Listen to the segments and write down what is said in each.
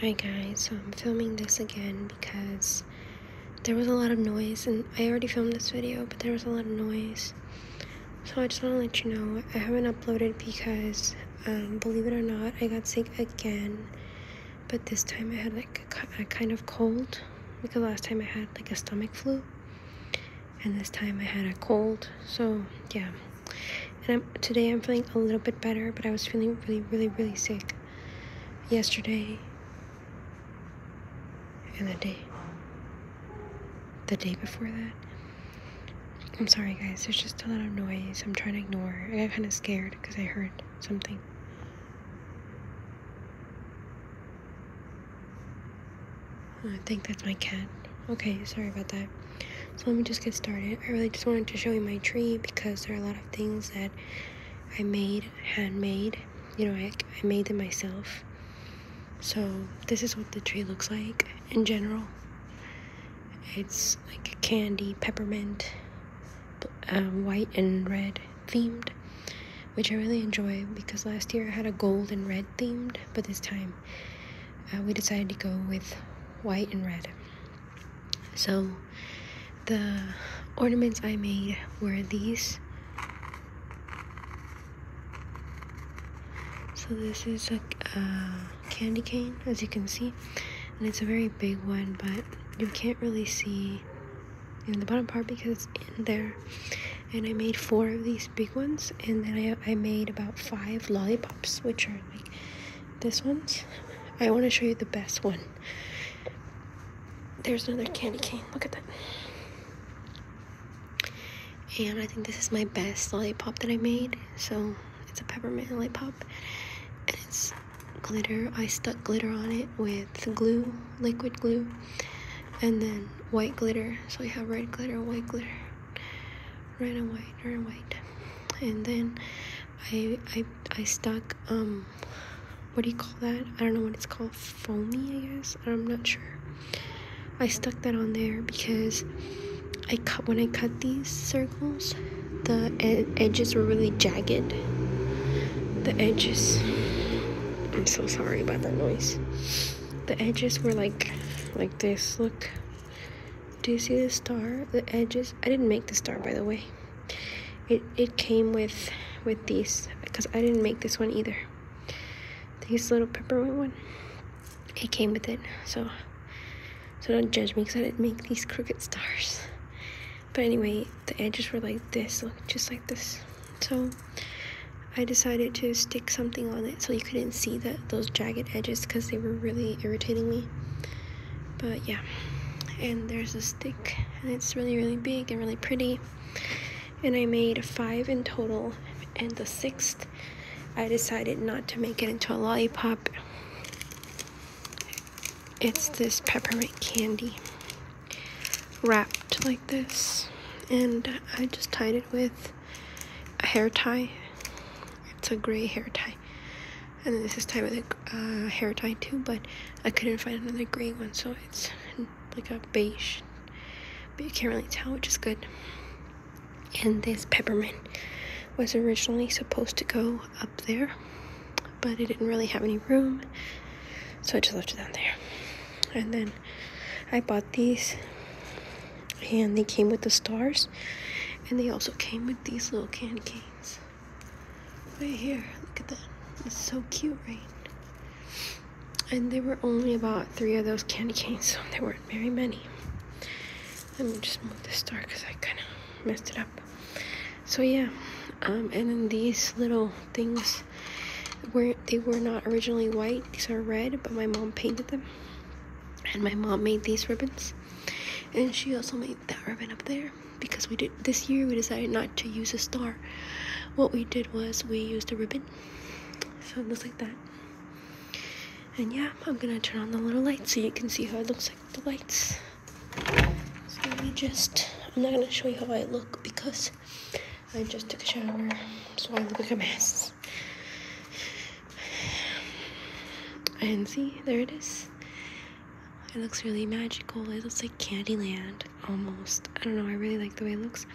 Hi guys, so I'm filming this again because there was a lot of noise and I already filmed this video, but there was a lot of noise. So I just want to let you know I haven't uploaded because, um, believe it or not, I got sick again. But this time I had like a, a kind of cold because last time I had like a stomach flu and this time I had a cold. So yeah, and I'm, today I'm feeling a little bit better, but I was feeling really, really, really sick yesterday and the day the day before that. I'm sorry, guys. There's just a lot of noise. I'm trying to ignore. I am kind of scared because I heard something. I think that's my cat. Okay, sorry about that. So let me just get started. I really just wanted to show you my tree because there are a lot of things that I made, handmade. You know, I, I made them myself. So this is what the tree looks like in general. It's like candy, peppermint, um, white and red themed, which I really enjoy because last year I had a gold and red themed, but this time uh, we decided to go with white and red. So the ornaments I made were these. So this is a candy cane, as you can see, and it's a very big one, but you can't really see in the bottom part because it's in there and I made four of these big ones, and then I, I made about five lollipops, which are like this one's. I want to show you the best one. There's another candy cane. Look at that. And I think this is my best lollipop that I made. So it's a peppermint lollipop. And it's glitter. I stuck glitter on it with glue, liquid glue. And then white glitter. So I have red glitter, white glitter red and white, red and white. And then I I I stuck um what do you call that? I don't know what it's called, foamy, I guess. I'm not sure. I stuck that on there because I cut when I cut these circles, the ed edges were really jagged. The edges. I'm so sorry about that noise the edges were like like this look do you see the star the edges i didn't make the star by the way it it came with with these because i didn't make this one either this little peppermint one it came with it so so don't judge me because i didn't make these crooked stars but anyway the edges were like this look just like this so I decided to stick something on it so you couldn't see that those jagged edges because they were really irritating me. But yeah, and there's a stick and it's really really big and really pretty. And I made five in total and the sixth I decided not to make it into a lollipop. It's this peppermint candy wrapped like this and I just tied it with a hair tie it's a gray hair tie and this is tied with a hair tie too but I couldn't find another gray one so it's like a beige but you can't really tell which is good and this peppermint was originally supposed to go up there but I didn't really have any room so I just left it down there and then I bought these and they came with the stars and they also came with these little candy canes right here look at that it's so cute right and there were only about three of those candy canes so there weren't very many let me just move this star because I kind of messed it up so yeah um, and then these little things were they were not originally white. These are red, but my mom painted them. And my mom made these ribbons. And she also made that ribbon up there because we did this year we decided not to use a star. What we did was we used a ribbon. So it looks like that. And yeah, I'm gonna turn on the little lights so you can see how it looks like the lights. So we just, I'm not gonna show you how I look because I just took a shower, so I look like a mess. And see, there it is. It looks really magical. It looks like Candyland almost. I don't know, I really like the way it looks.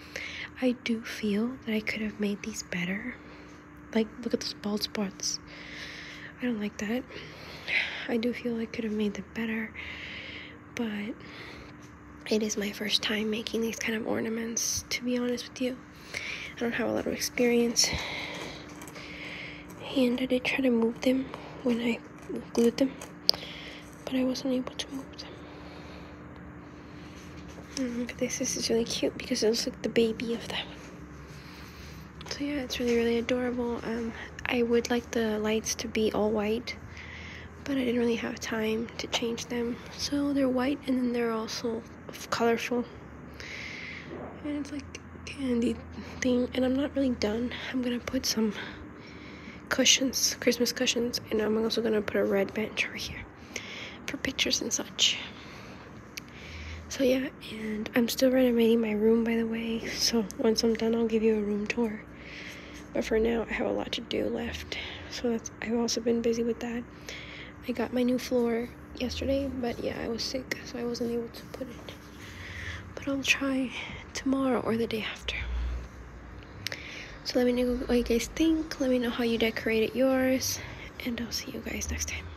I do feel that I could have made these better. Like, look at those bald spots. I don't like that. I do feel I could have made them better, but it is my first time making these kind of ornaments, to be honest with you. I don't have a lot of experience, and I did try to move them when I glued them, but I wasn't able to move them. look mm, at this, this is really cute because it looks like the baby of them. So yeah, it's really, really adorable. Um, I would like the lights to be all white, but I didn't really have time to change them. So they're white and then they're also colorful. And it's like candy thing. And I'm not really done. I'm going to put some cushions, Christmas cushions, and I'm also going to put a red bench over here for pictures and such. So yeah, and I'm still renovating my room by the way, so once I'm done I'll give you a room tour. But for now I have a lot to do left. So that's I've also been busy with that. I got my new floor yesterday, but yeah, I was sick, so I wasn't able to put it. But I'll try tomorrow or the day after. So let me know what you guys think. Let me know how you decorated yours. And I'll see you guys next time.